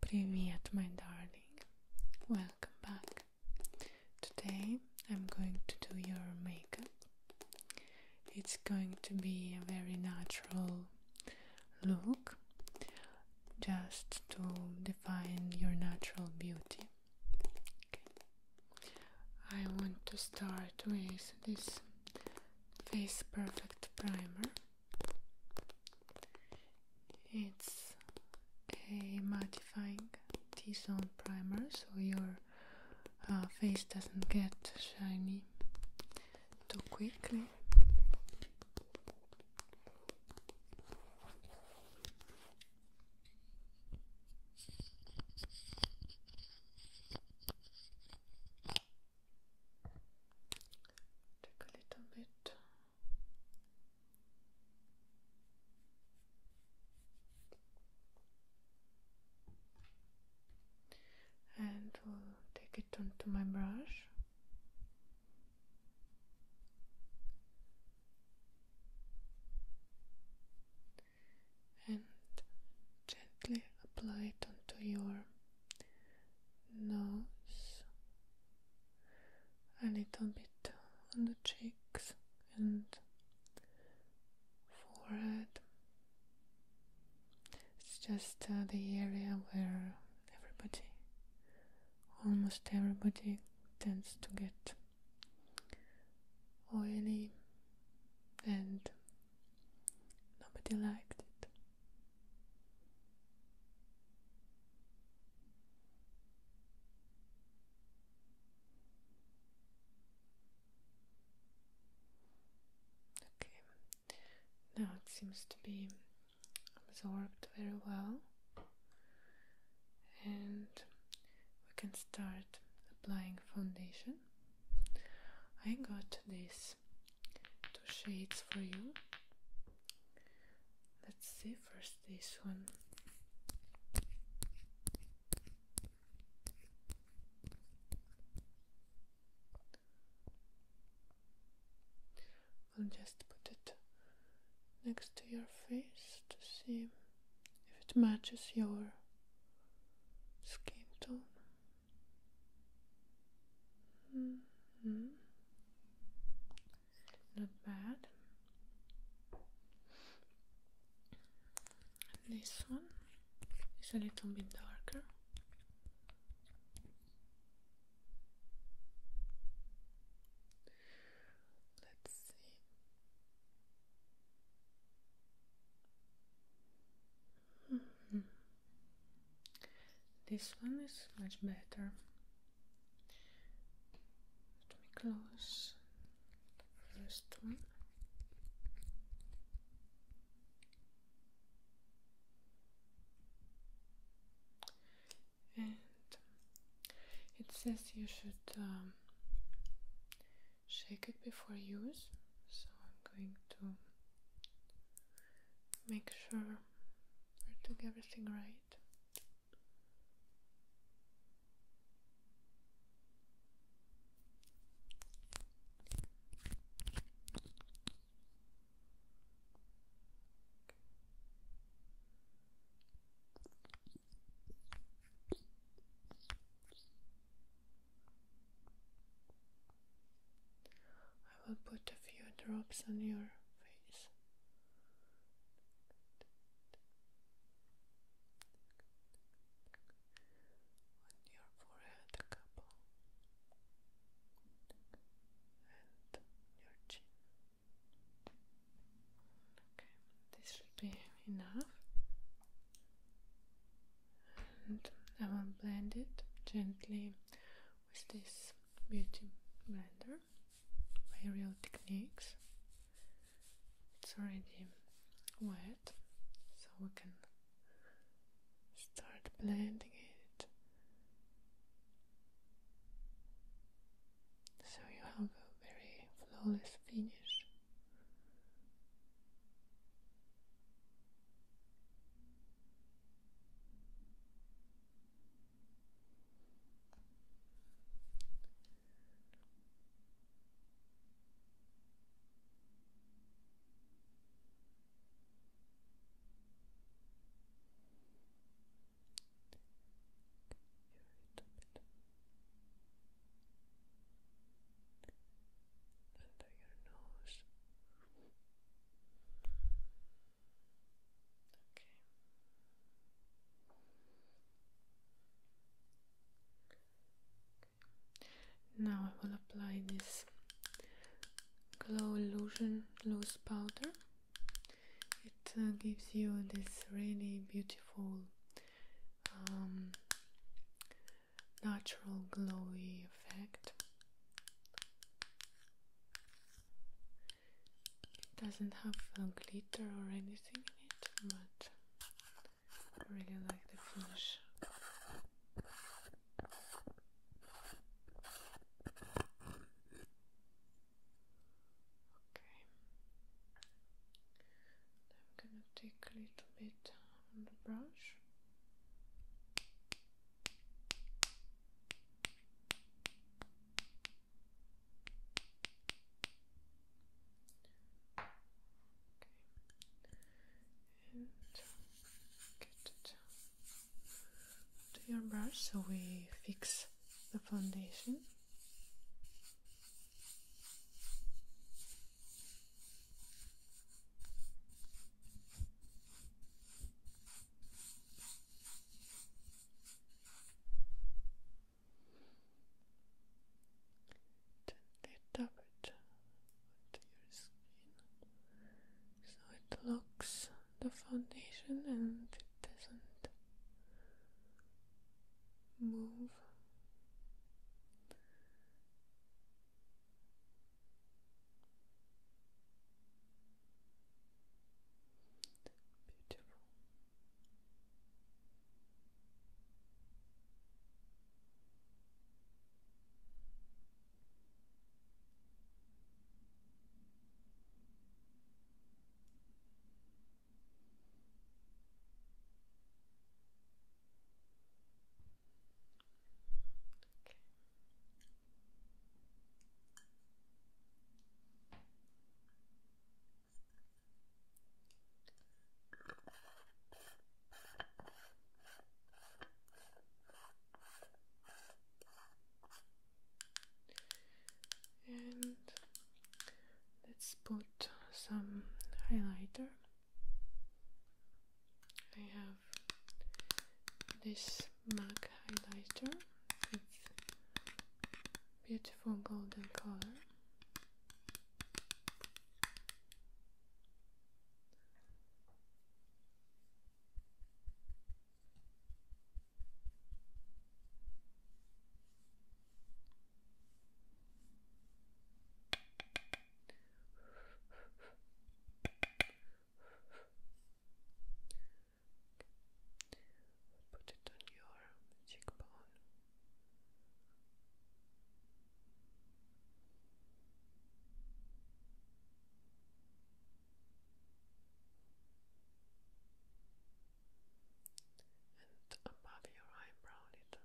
Premiere, my darling. Welcome back. Today I'm going to do your makeup. It's going to be a very natural look just to define your natural beauty. I want to start with this Face Perfect Primer. It's a mattifying T-zone primer so your uh, face doesn't get shiny too quickly. Take a little bit. And take it onto my brush. And gently apply it onto your nose, a little bit on the cheeks and forehead. It's just uh, the area where everybody, almost everybody, tends to get oily and nobody liked it. Okay, now it seems to be absorbed very well, and we can start applying foundation. I got this two shades for you. Let's see first this one. I'll just put it next to your face to see if it matches your skin tone. Mm-hmm. Not bad. This one is a little bit darker. Let's see. Mm-hmm. This one is much better. Let me close the first one. And it says you should um, shake it before use, so I'm going to make sure we're doing everything right. I will put a few drops on your face. On your forehead, a couple, and your chin. Okay, this should be enough, and I will blend it gently with this beauty blender by Real Techniques. It's already wet, so we can start blending it. So you have a very flawless finish. Under your nose. Now I will apply this glow illusion loose powder. It uh, gives you this really beautiful, um, natural glowy effect. It doesn't have glitter or anything in it, but I really like the finish. Okay. I'm gonna take a little bit on the brush and get your brush so we fix the foundation. Gently tap it onto your skin so it locks the foundation and it doesn't move. Beautiful. Okay. And let's put some highlighter. I have this MAC highlighter with beautiful golden color. Okay. Put it on your cheekbone. And above your eyebrow a little bit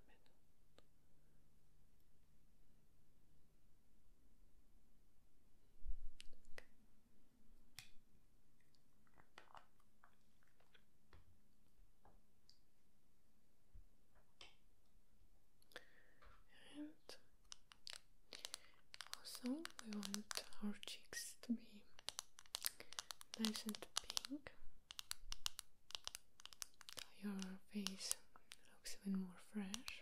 also we want our cheeks to be nice and pink. your face looks even more fresh.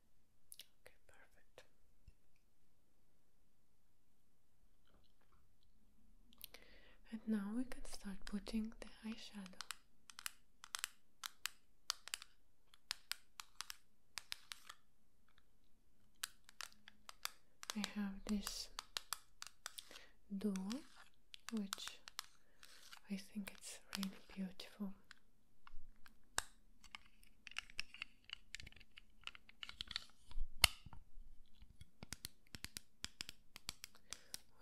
Okay, perfect. And now we can start putting the eyeshadow. I have this duo, which I think it's really beautiful.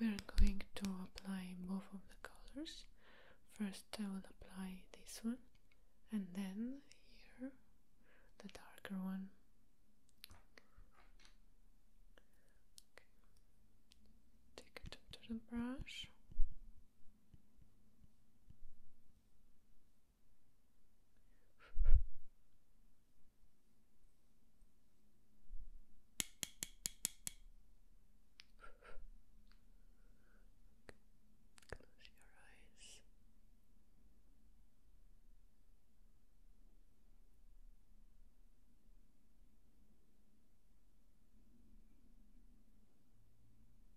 We're going to apply both of the colors. First, I will apply this one, and then here the darker one. Take it to the brush. Close your eyes. Relax.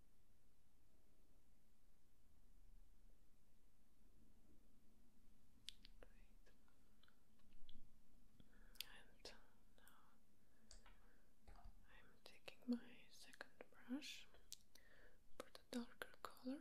And now I'm taking my second brush for the darker color.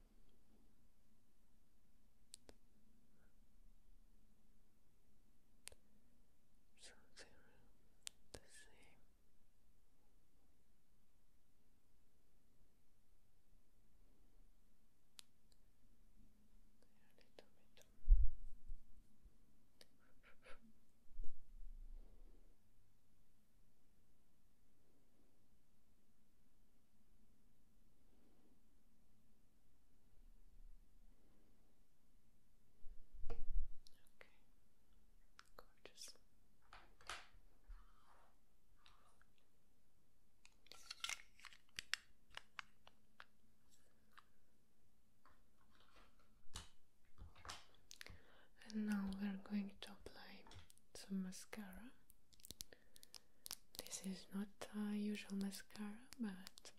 So they the same. They're a and now we're going to apply some mascara this is not a usual mascara, but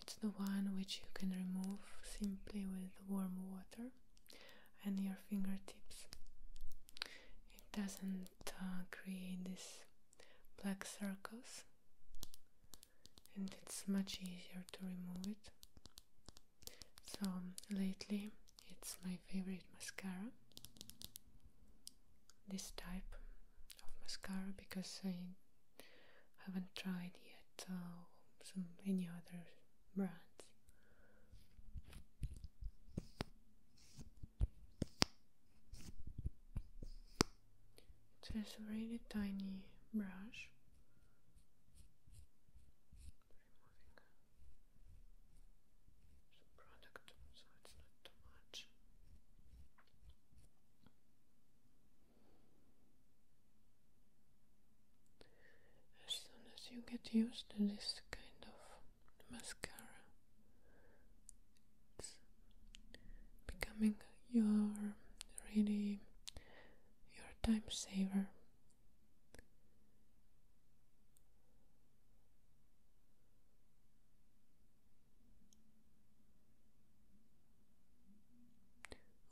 it's the one which you can remove simply with warm water and your fingertips. It doesn't uh, create these black circles, and it's much easier to remove it. So, lately, it's my favorite mascara this type of mascara because I haven't tried yet uh, some any other brands. It's a really tiny brush. As soon as you get used to this kind of mascara, it's becoming your really your time saver.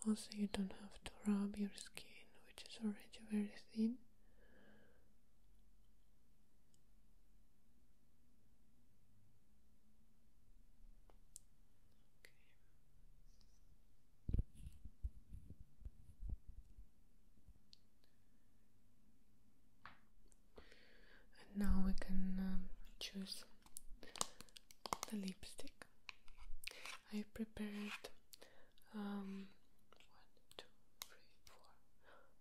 Also, you don't have to rub your skin, which is already very thin and now we can um, choose the lipstick I prepared um, one, two, three, four,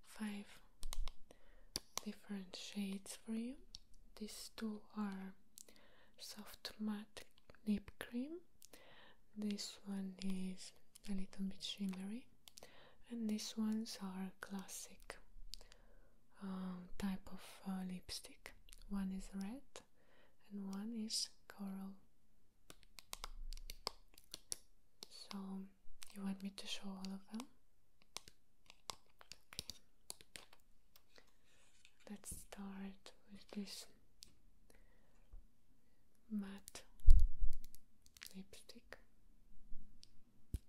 five different shades for you. These two are soft matte lip cream. This one is a little bit shimmery and these ones are classic um, type of uh, lipstick. One is red and one is coral. So you want me to show all of them? Let's start with this matte lipstick. What do you like?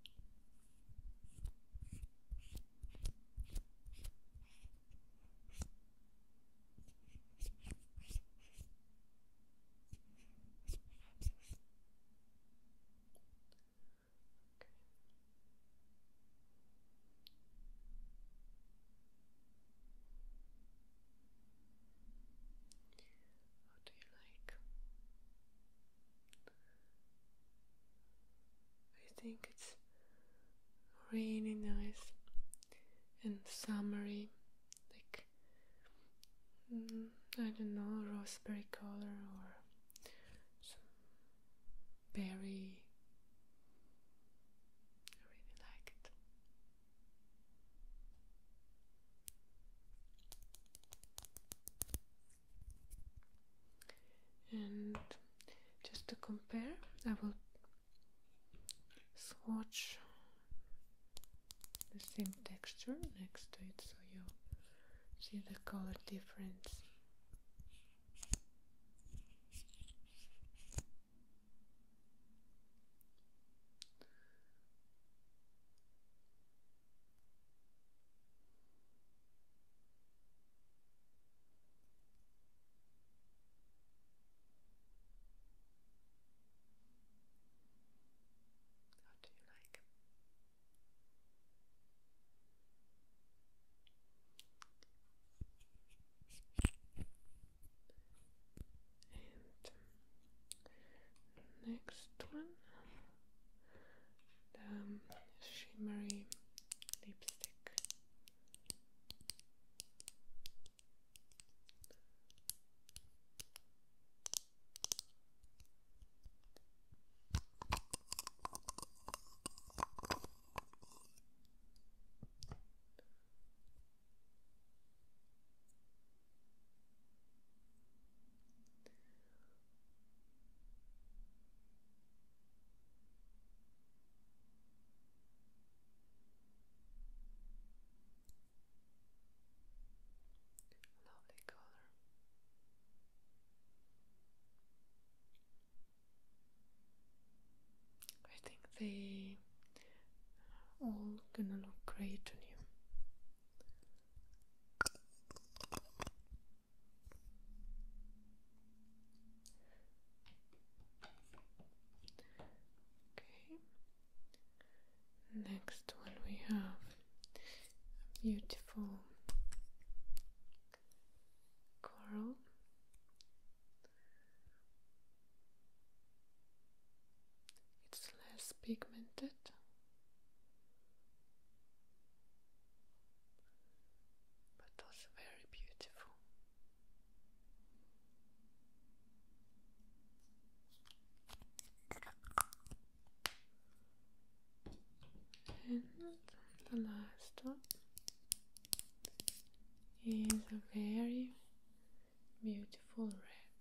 I think it's really nice and summery, like mm, I don't know, raspberry color or some berry. I really like it and just to compare I will swatch the same texture next to it so you see the color difference how do you like? next one the shimmery lipstick. Lovely color. I think they all gonna look great on you. Okay. Next one we have a beautiful coral. It's less pigmented but also very beautiful. And the last one is a very beautiful red.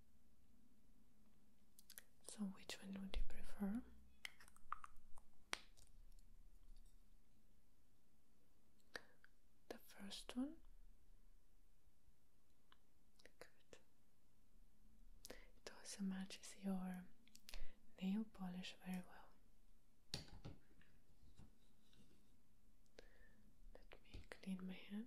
So, which one would you prefer? The first one? Good. It also matches your nail polish very well. Let me clean my hand.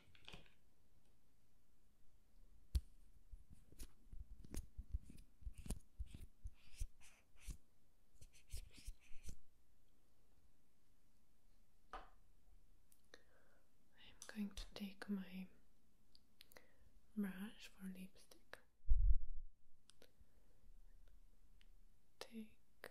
I'm going to take my brush for lipstick. Take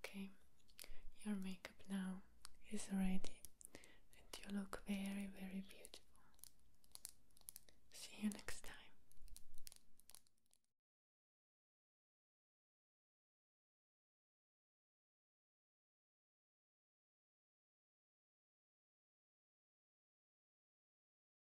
Okay, your makeup now is ready and you look very, very beautiful. See you next time.